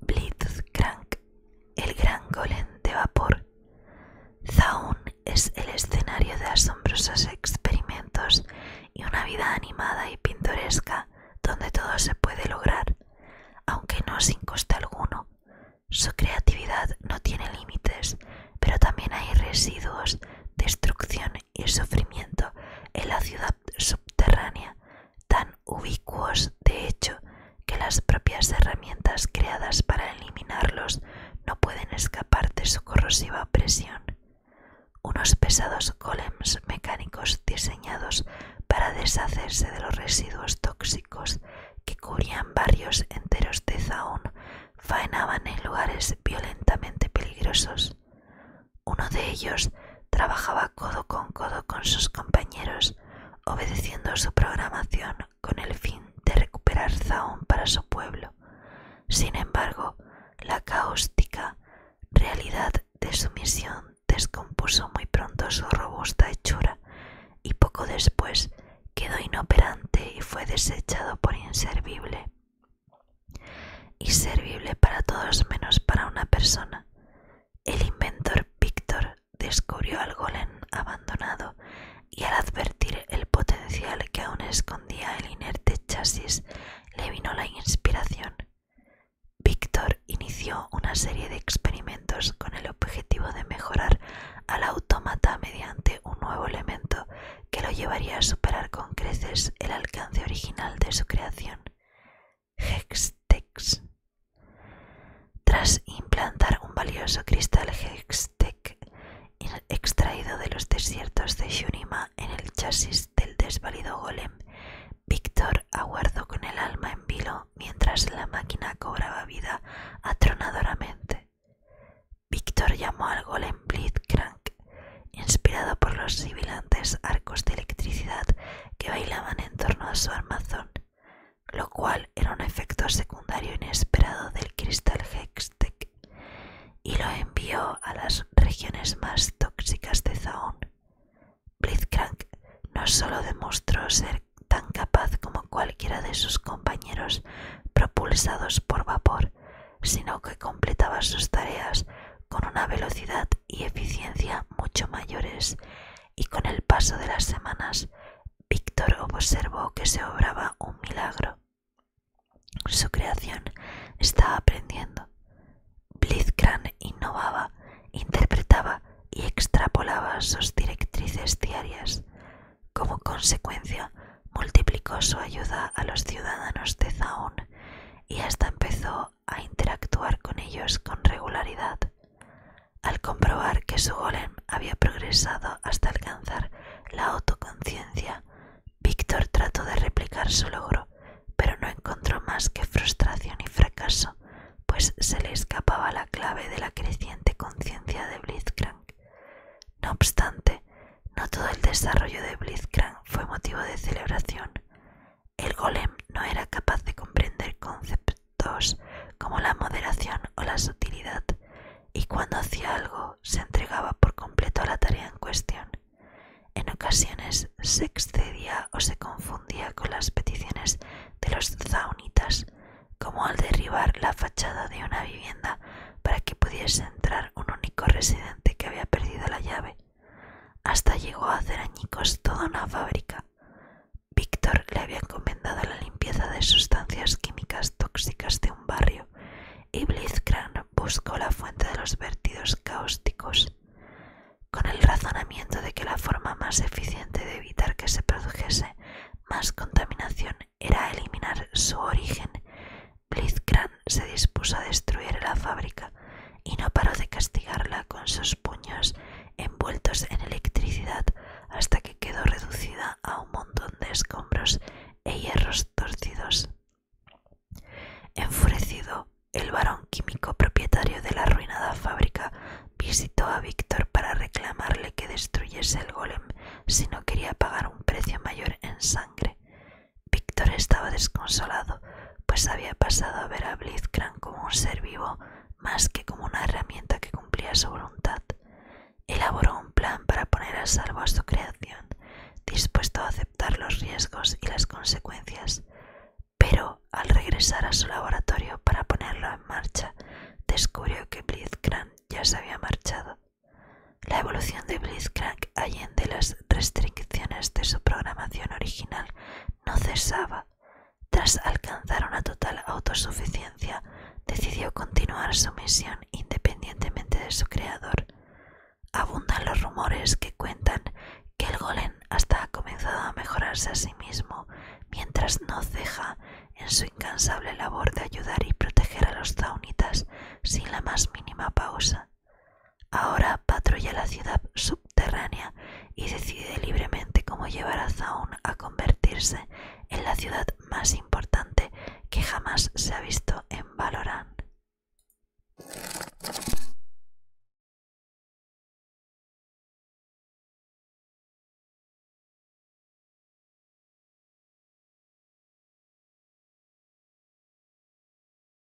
Blitzcrank, el gran golem de vapor. Zaun es el escenario de asombrosos experimentos y una vida animada y pintoresca donde todo se puede lograr aunque no sin coste alguno. Su creatividad no tiene límites, pero también hay residuos, destrucción y sufrimiento en la ciudad subterránea, tan ubicuos de hecho que las propias herramientas creadas para eliminarlos no pueden escapar de su corrosiva presión. Unos pesados golems mecánicos diseñados para deshacerse de los residuos tóxicos que cubrían barrios enteros de Zaun, faenaban en lugares violentamente peligrosos. Uno de ellos trabajaba codo con codo con sus compañeros, obedeciendo su programación con el fin de recuperar Zaun para su pueblo. Sin embargo, la caóstica realidad de su misión descompuso muy pronto su robusta hechura y poco después quedó inoperante y fue desechado por inservible. Y Inservible para todos menos para una persona. El inventor Víctor descubrió al golem abandonado y al advertir el potencial que aún escondía el inerte chasis le vino la inspiración. Víctor inició una serie de experimentos con el objetivo de mejorar al autómata mediante un nuevo elemento que lo llevaría a superar con creces el alcance original de su creación, Hextex. Tras implantar un valioso cristal Hextech extraído de los desiertos de Shunima en el chasis del desvalido golem. Víctor aguardó con el alma en vilo mientras la máquina cobraba vida atronadoramente. Víctor llamó al golem Blitzcrank, inspirado por los sibilantes arcos de electricidad que bailaban en torno a su armazón, lo cual era un efecto secundario inesperado del cristal Hextech y lo envió a las regiones más tóxicas de Zaun. Blitzcrank no sólo demostró ser tan capaz como cualquiera de sus compañeros propulsados por vapor, sino que completaba sus tareas con una velocidad y eficiencia mucho mayores, y con el paso de las semanas, Víctor observó que se obraba un milagro. Su creación estaba aprendiendo. Blizkran innovaba, interpretaba y extrapolaba sus directrices diarias. Como consecuencia, multiplicó su ayuda a los ciudadanos de Zaun y hasta empezó a interactuar con ellos con regularidad. Al comprobar que su golem había progresado hasta alcanzar la autoconciencia, Víctor trató de replicar su logro, pero no encontró más que frustración y fracaso, pues se le escapaba la clave de la creciente conciencia de Blitzcrank. No obstante, no todo el desarrollo de Blitzcrank fue motivo de celebración. El golem no era capaz de comprender conceptos dos, como la moderación o la sutilidad, y cuando hacía algo se entregaba por completo a la tarea en cuestión. En ocasiones se excedía o se confundía con las peticiones de los zaunitas, como al derribar la fachada de una vivienda para que pudiese entrar un único residente que había perdido la llave. Hasta llegó a hacer añicos toda una fábrica. Víctor le había encomendado la limpieza de sustancias químicas tóxicas de un barrio y Blitzcrank buscó la fuente de los vertidos cáusticos, con el razonamiento de que la forma más eficiente de evitar que se produjese más contaminación era eliminar su origen. Blitzcrank se dispuso a destruir la fábrica y no paró de castigarla con sus puños envueltos en electricidad hasta que quedó reducida a un montón de escombros e hierros torcidos. Enfurecido, el varón químico propietario de la arruinada fábrica visitó a Víctor para reclamarle que destruyese el golem si no quería pagar un precio mayor en sangre. Víctor estaba desconsolado, pues había pasado a ver a Blizkran como un ser vivo más que como una herramienta que cumplía su voluntad, elaboró un plan para poner a salvo a su creación, dispuesto a aceptar los riesgos y las consecuencias, pero al regresar a su laboratorio para ponerlo en marcha, descubrió que Blitzcrank ya se había marchado. La evolución de Blitzcrank allende las restricciones de su programación original no cesaba. Tras alcanzar una total autosuficiencia, decidió continuar su misión independientemente de su creador. Abundan los rumores que cuentan que el golem hasta ha comenzado a mejorarse a sí mismo mientras no ceja en su incansable labor de ayudar y proteger a los zaunitas sin la más mínima pausa. Ahora patrulla la ciudad subterránea y decide libremente cómo llevar a Zaun a convertirse en la ciudad más importante que jamás se ha visto en Valorant.